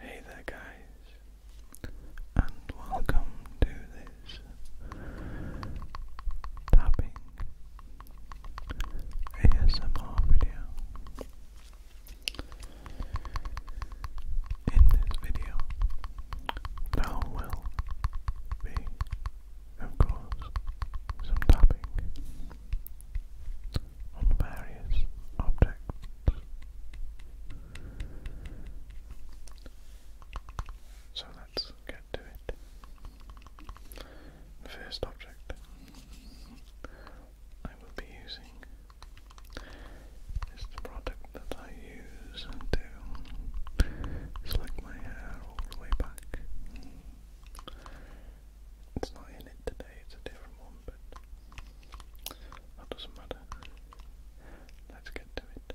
Hey there, guys, and welcome to this tapping ASMR video. In this video, I will be of course, some tapping on various objects. So let's get to it. The first object I will be using is the product that I use to slick my hair all the way back. It's not in it today, it's a different one, but that doesn't matter. Let's get to it.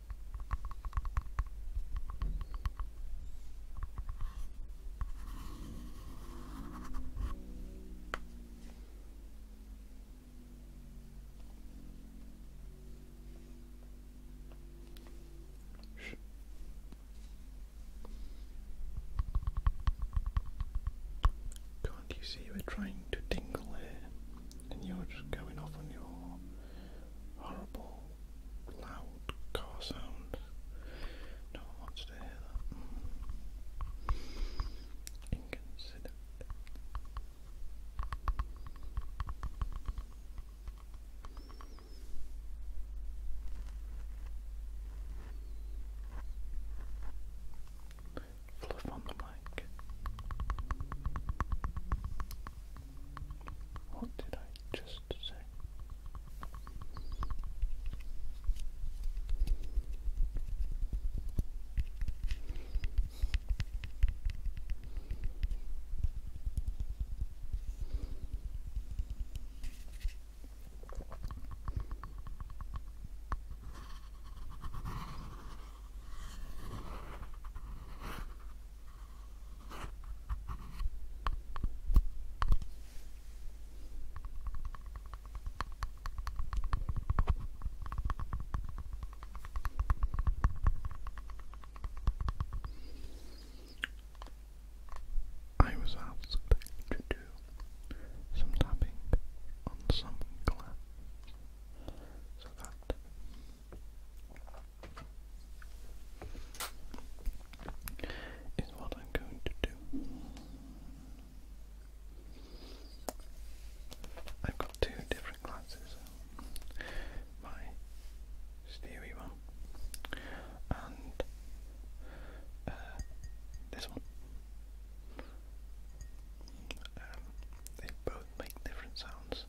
Can't you see we're trying to tingle here? and you're just going off on your horrible loud car sound. No one wants to hear that. Inconsiderate fluff on the mic. What did I just say? I was asked to do some tapping on some glass so that is what I'm going to do. I've got two different glasses. My steely one and uh, this one. Um, they both make different sounds.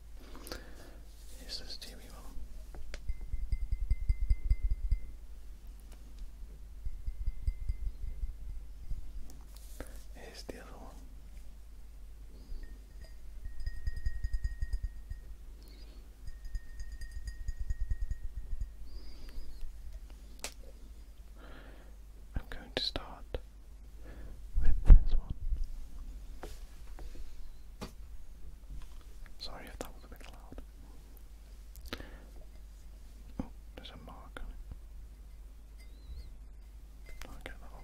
Here's the steamy one. Here's the other one. I'm going to start with this one. Sorry if that was a bit loud. Oh, there's a mark I'll get that off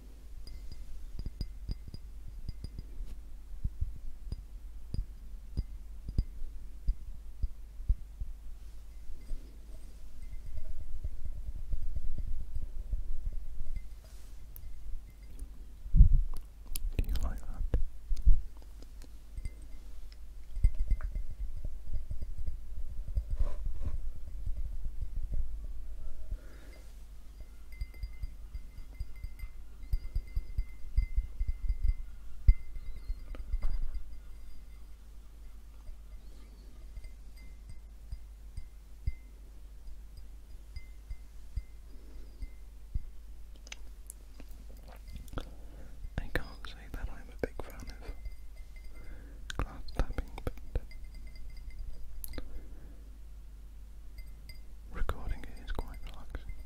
Do you like that? I can't say that I'm a big fan of glass tapping, but recording it is quite relaxing.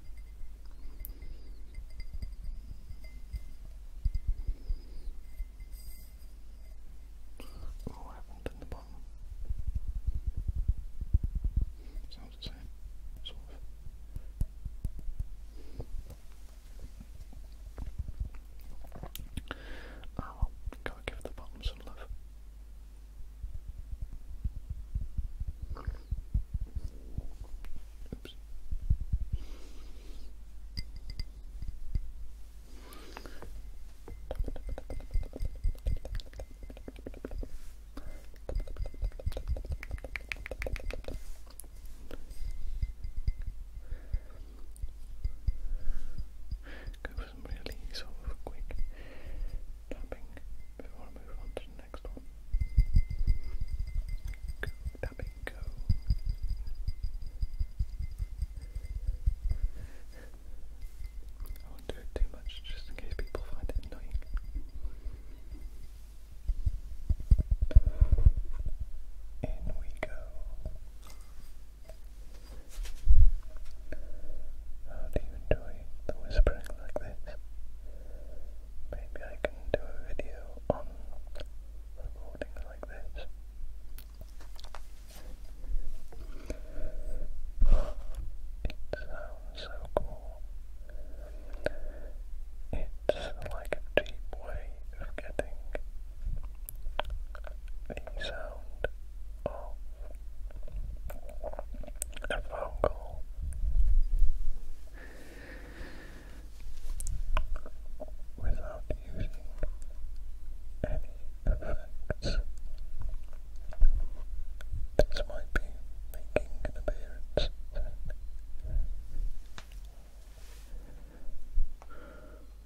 Oh, I have the bottom. Sounds the same, sort of. Oh, well, Gotta give the bottom some love. Go for some really sort of quick tapping before I move on to the next one. Go, tapping, go. I won't do it too much just in case people find it annoying. In we go. How do you enjoy the whispering like this? Maybe I can do a video on recordings like this. It sounds so cool. It's like a cheap way of getting the sound of a phone call. Without using any effects, this might be making an appearance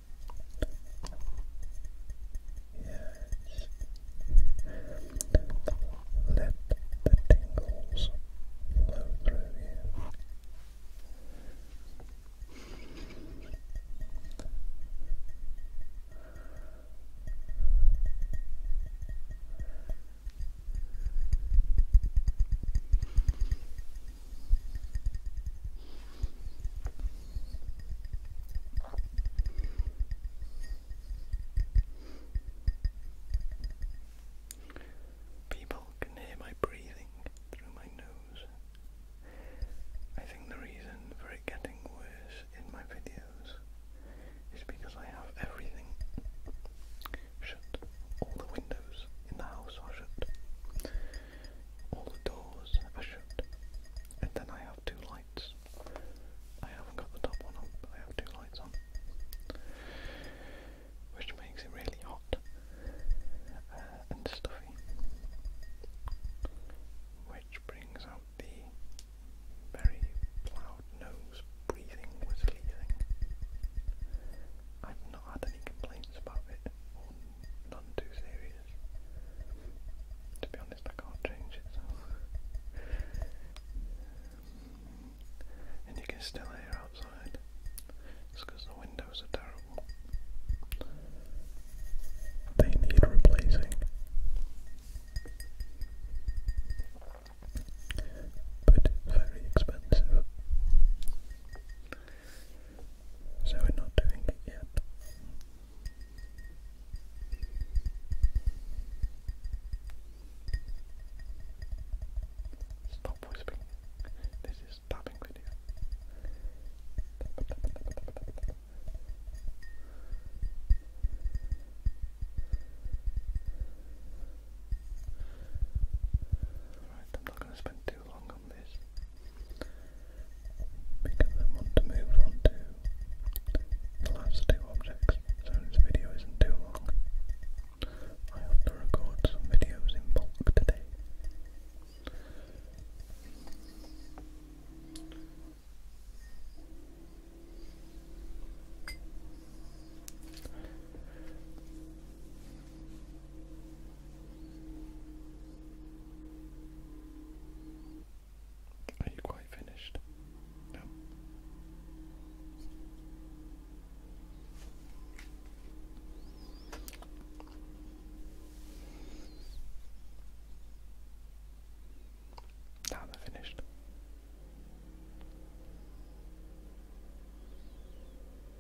Let the tingles flow through you. People can hear my breathing through my nose. I think the reason for it getting worse in my videos is because I have everything shut. All the windows in the house are shut all the doors are shut. And then I have two lights. I haven't got the top one on, but I have two lights on. Which makes it really hot uh, and stuffy. Which brings out the very loud nose breathing, whistly thing. I've not had any complaints about it, none too serious. To be honest, I can't change it. And you can still hear outside. It's because the windows are terrible. They need replacing. But very expensive. So we're not doing it yet. Stop whispering. This is tapping video not going to too long on this because I want to move on to the last two objects, so this video isn't too long. I have to record some videos in bulk today. Are you quite finished? Now they're finished.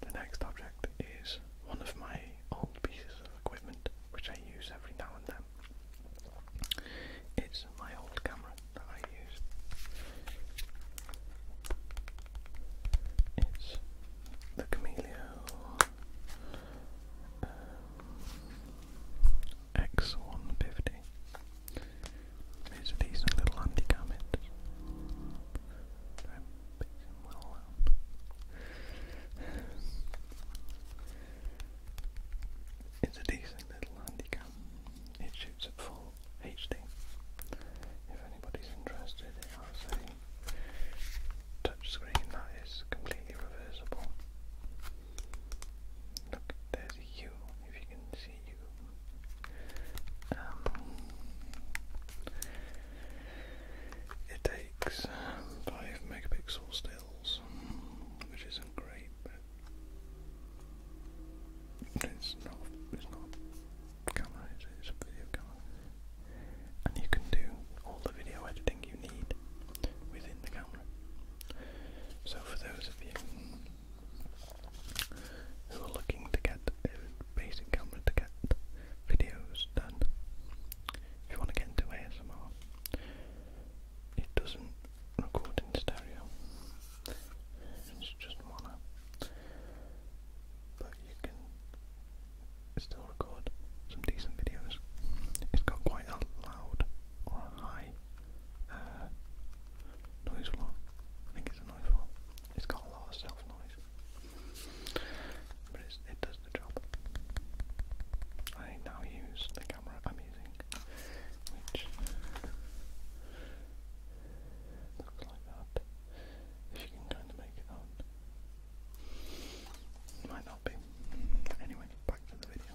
The next object is one of my old pieces of equipment which I use every now and then. It's my old camera that I use. It's the Camelio um, X150. It's a decent little anti-comment. It's a decent little handicap. It shoots at full HD. If anybody's interested, it has a screen that is completely reversible. Look, there's a U, if you can see U. Um, it takes um, five megapixel stills, which isn't great, but it's not. It's not camera. it's a video camera, and you can do all the video editing you need within the camera. So for those of you who are looking to get a basic camera to get videos done. If you want to get into ASMR, it doesn't record in stereo, it's just mono, but you can still record some decent videos. It's got quite a loud or a high uh, noise floor. I think it's a noise floor. It's got a lot of self noise, but it does the job. I now use the camera I'm using, which looks like that. If you can kind of make it out. Might not be. Anyway, back to the video.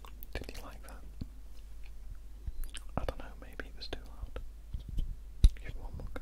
Did you like that? I don't know, maybe it was too loud. Give one more go.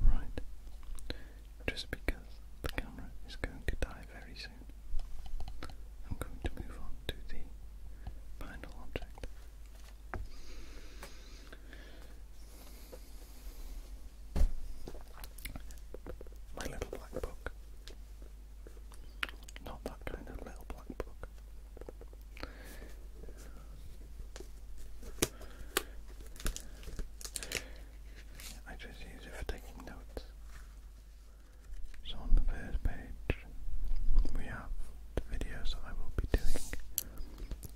Right, just because the camera is going to die very soon, I'm going to move on to the final object. My little black book. Not that kind of little black book. I just use it for taking notes. So on the first page, we have the videos I will be doing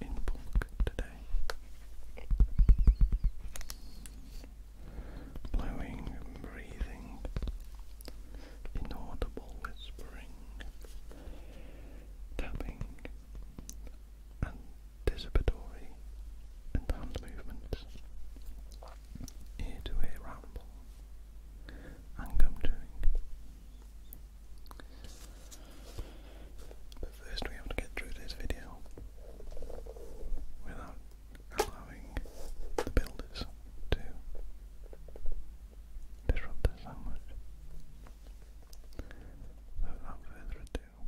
in bulk today. Blowing and breathing, inaudible whispering, tapping, anticipatory hand movements, ear to ear ramble, and but first we have to get through this video without allowing the builders to disrupt us so much. without further ado.